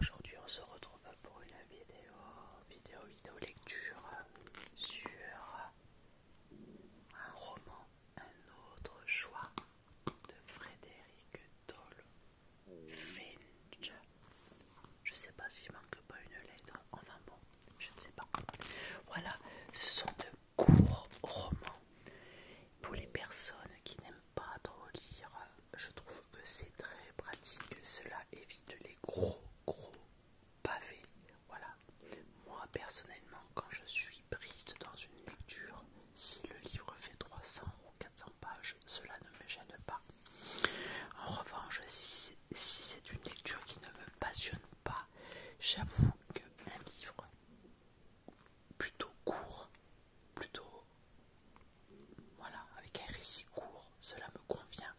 Aujourd'hui on se retrouve pour une vidéo, vidéo, vidéo lecture sur un roman, un autre choix de Frédéric Doll Finch. Je sais pas s'il manque pas une lettre, enfin bon, je ne sais pas. Voilà, ce sont deux court roman. Pour les personnes qui n'aiment pas trop lire, je trouve que c'est très pratique. Cela évite les gros, gros pavés. Voilà. Moi, personnellement, quand je suis prise dans une lecture, si le livre fait 300 ou 400 pages, cela ne me gêne pas. En revanche, si c'est une lecture qui ne me passionne pas, j'avoue qu'un livre plutôt court, plutôt voilà, avec un récit court, cela me convient.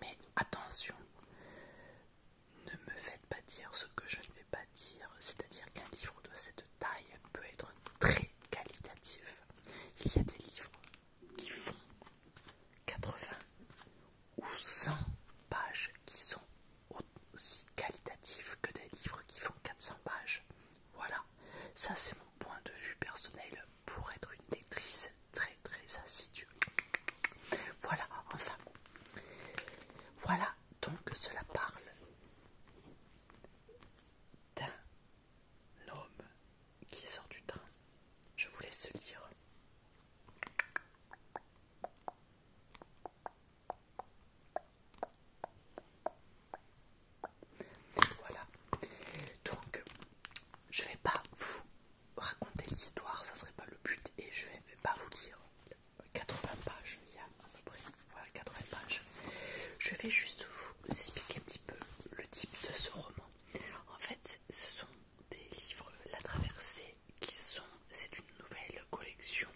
Mais attention, ne me faites pas dire ce que je ne vais pas dire, c'est-à-dire qu'un livre de cette taille peut être très qualitatif. Il y a des livres qui font 80 ou 100 pages qui sont aussi qualitatives que des livres qui font 400 pages. Voilà, ça c'est mon point de vue personnel pour être une lectrice très très assidue. Voilà, enfin. Voilà, donc cela parle d'un L'homme qui sort du train. Je vous laisse lire. Voilà. Donc, je vais pas vous raconter l'histoire, ça serait pas le but, et je vais pas vous lire 80 pages. Il y a à peu près voilà, 80 pages. Je vais juste vous expliquer le type de ce roman. En fait, ce sont des livres La Traversée qui sont, c'est une nouvelle collection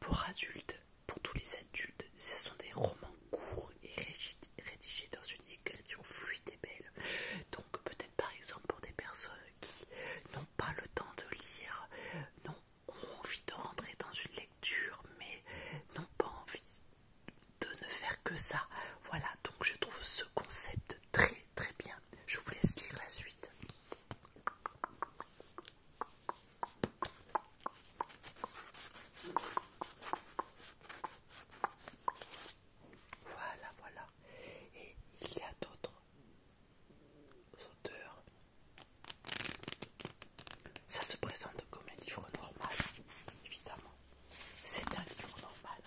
pour adultes, pour tous les adultes. Ce sont des romans courts et rédigés dans une écriture fluide et belle. Donc peut-être par exemple pour des personnes qui n'ont pas le temps de lire, Non ont envie de rentrer dans une lecture, mais n'ont pas envie de ne faire que ça. Voilà, donc je trouve ce concept très très bien. Je vous laisse lire la suite. Voilà, voilà. Et il y a d'autres auteurs. Ça se présente comme un livre normal, évidemment. C'est un livre normal.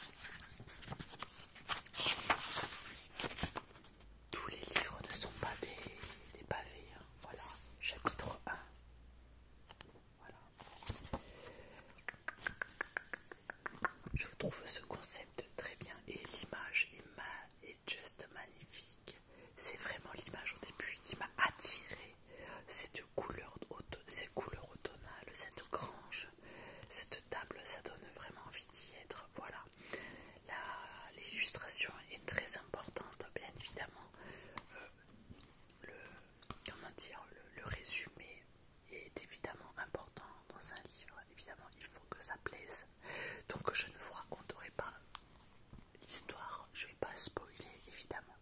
Tous les livres ne sont pas des, des pavés. Hein. Voilà, chapitre 1. Voilà. Je trouve ce concept très bien et l'image est, est juste magnifique. C'est vraiment l'image au début qui m'a attirée. Cette couleur, auto ces couleurs cette grange, cette table, ça donne vraiment envie d'y être. Voilà. L'illustration est très importante, bien évidemment. Euh, le, comment dire, le résumé est évidemment important dans un livre. Évidemment, il faut que ça plaise. Donc, je ne vous raconterai pas l'histoire. Je vais pas spoiler, évidemment.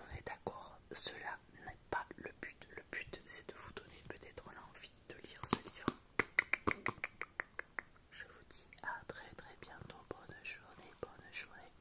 On est d'accord, cela n'est pas le but. Le but, c'est de vous donner peut-être l'envie de lire ce livre. Je vous dis à très très bientôt. Bonne journée, bonne journée.